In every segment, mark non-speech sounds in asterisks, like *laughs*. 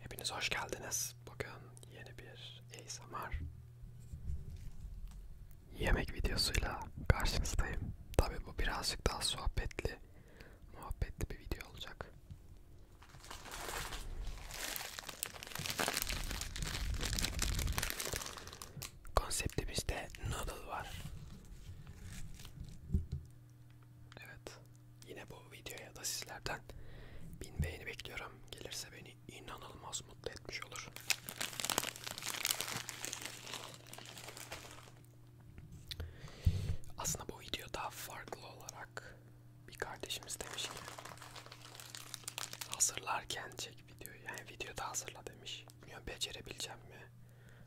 Hepiniz hoş geldiniz. Bugün yeni bir ASMR yemek videosuyla karşınızdayım. Tabi bu birazcık daha sohbetli, muhabbetli bir video olacak. Konseptimizde noodle var. Evet, Yine bu videoya da sizlerden bin beğeni bekliyorum. Gelirse beni inanılmaz mutlu etmiş olur. Aslında bu video daha farklı olarak bir kardeşimiz demiş ki hazırlarken çek videoyu. Yani videoda hazırla demiş. Bilmiyorum becerebileceğim mi?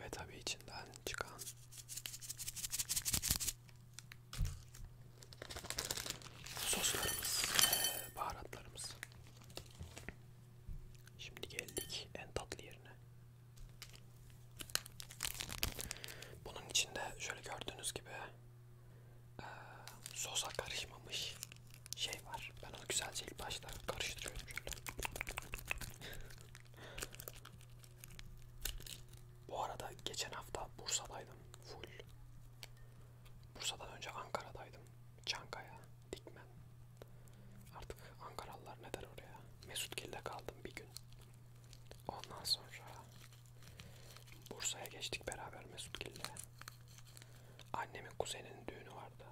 Ve tabii içinden çıkan soslarımız, baharatlarımız. Şimdi geldik en tatlı yerine. Bunun içinde şöyle gördüğünüz gibi e, sosa karışmamış şey var. Ben onu güzelce ilk başta karıştırıyorum şöyle. Bu arada geçen hafta Bursa'daydım full. Bursa'dan önce Ankara'daydım. Çankaya, Dikmen. Artık Ankaralılar ne der oraya? Mesutgil'de kaldım bir gün. Ondan sonra Bursa'ya geçtik beraber Mesutgil'le. Annemin kuzeninin düğünü vardı.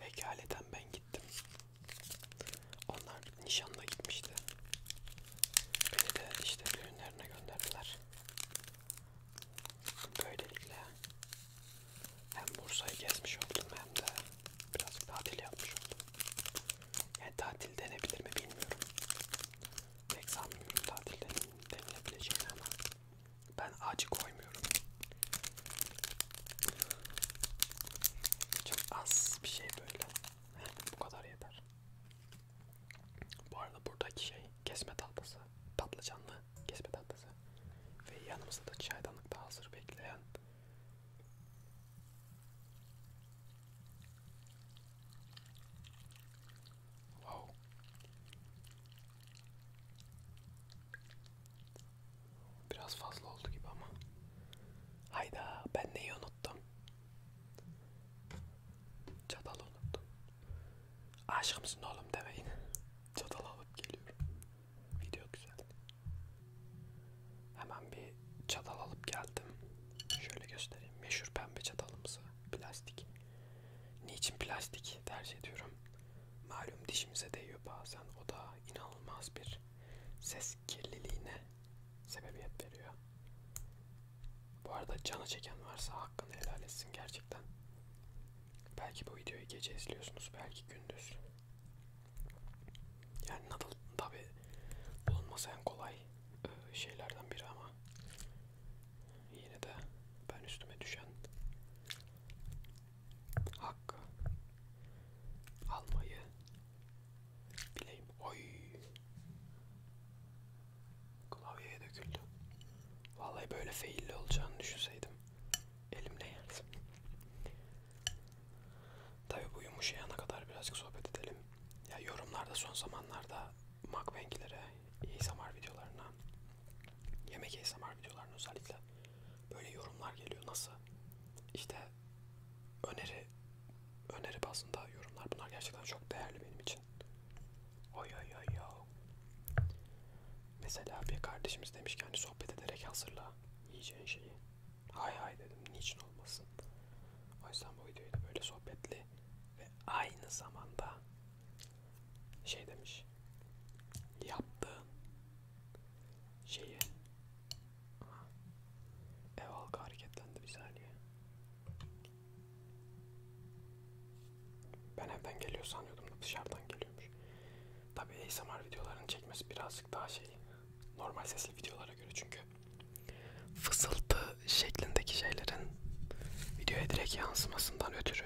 Vekaleten ben gittim. Onlar nişanda gitmişti. Beni de işte düğünlerine gönderdiler. Böylelikle hem Bursa'yı gezmiş oldum hem de biraz tatil yapmış oldum. Yani tatil denebilir mi bilmiyorum. Pek sanmıyorum tatil denilebileceğini ama ben acı koymuyorum. Çok az bir şey böyle. *laughs* Bu kadar yeter. Bu arada buradaki şey kesme tahtası. Patlıcanlı kesme tahtası. Ve yanımızda da çaydanlıkta hazır bekleyen Wow. Biraz fazla oldu gibi ama. Hayda ben neyi unuttum? Çatal unuttum. Aşkımsın oğlum demeyin. *laughs* Çatal alıp geliyorum. Video güzel. Hemen bir çatal alıp geldim. Şöyle göstereyim. Meşhur pembe çatalımızı. Plastik. Niçin plastik tercih ediyorum? Malum dişimize değiyor bazen. O da inanılmaz bir ses kirliliğine sebebiyet veriyor. Bu arada canı çeken varsa hakkını helal etsin gerçekten. Belki bu videoyu gece izliyorsunuz, belki gündüz. Yani Nadal tabi bulunması en kolay e, şeylerden biri ama yine de ben üstüme düşen hakkı almayı bileyim. Oy! Klavyeye döküldü. Vallahi böyle failli olacağını düşünseydim elimle yerdim. Tabi bu yumuşayana kadar birazcık sohbet edelim. Ya yorumlarda son zamanlarda mukbang'lere, ASMR videolarına, yemek ASMR videolarına özellikle böyle yorumlar geliyor. Nasıl? İşte öneri öneri bazında yorumlar. Bunlar gerçekten çok değerli benim için. Oy oy oy oy. Mesela bir kardeşimiz demiş ki hani sohbet ederek hazırla yiyeceğin şeyi. Hay hay dedim. Niçin olmasın? O yüzden bu videoyu da böyle sohbetli ve aynı zamanda şey demiş. Yaptığın şeyi Aha. ev halkı hareketlendi bir saniye. Ben evden geliyor sanıyordum da dışarıdan geliyormuş. Tabi ASMR videolarını çekmesi birazcık daha şey normal sesli videolara göre çünkü fısıltı şeklindeki şeylerin videoya direkt yansımasından ötürü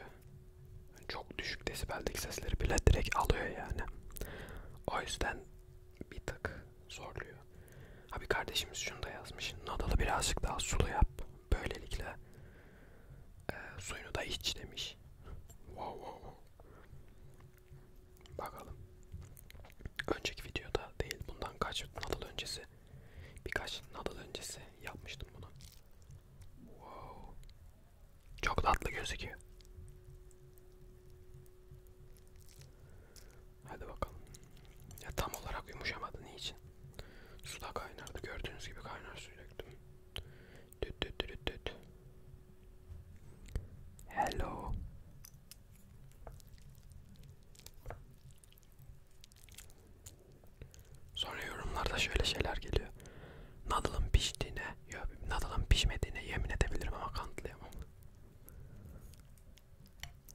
çok düşük desibeldeki sesleri bile direkt alıyor yani. O yüzden bir tık zorluyor. Abi kardeşimiz şunu da yazmış. Nadalı birazcık daha sulu yap. Böylelikle e, suyunu da iç demiş. Wow wow wow. Bakalım. Önceki videoda değil bundan kaç nadal öncesi birkaç nadal öncesi yapmıştım bunu. Wow. Çok tatlı gözüküyor. Hadi bakalım. Ya tam olarak yumuşamadı niçin? Suda kaynardı. Gördüğünüz gibi kaynar suyu döktüm. Düt düt düt düt. Hello. Sonra yorumlarda şöyle şeyler geliyor. Nadal'ın piştiğine, yok Nadal'ın pişmediğine yemin edebilirim ama kanıtlayamam.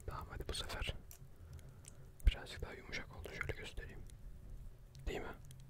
Tamam hadi bu sefer birazcık daha yumuşak oldu şöyle göstereyim. Değil mi?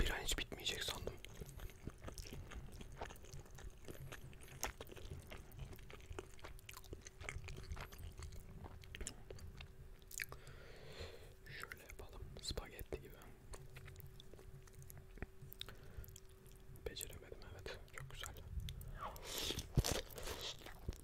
Bir an hiç bitmeyecek sandım. Şöyle yapalım. Spagetti gibi. Beceremedim evet. Çok güzel.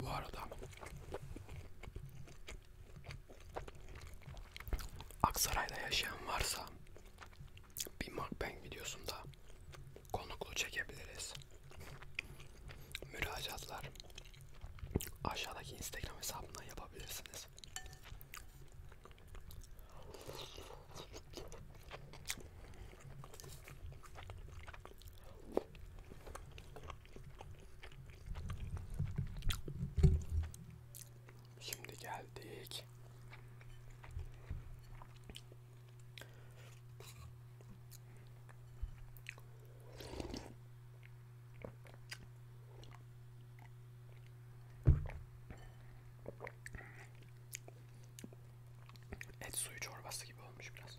Bu arada Aksaray'da yaşayan varsa bir mukbang videosunda konuklu çekebiliriz. Müracaatlar aşağıdaki Instagram hesabından yapabilirsiniz. Şimdi geldik. Et suyu çorbası gibi olmuş biraz.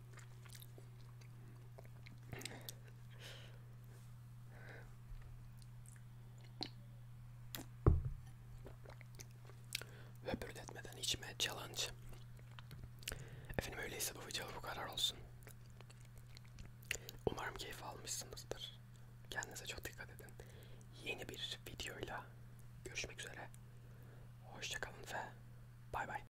Höpürdetmeden içme challenge. Efendim öyleyse bu video bu karar olsun. Umarım keyif almışsınızdır. Kendinize çok dikkat edin. Yeni bir videoyla görüşmek üzere. Hoşçakalın ve bay bay.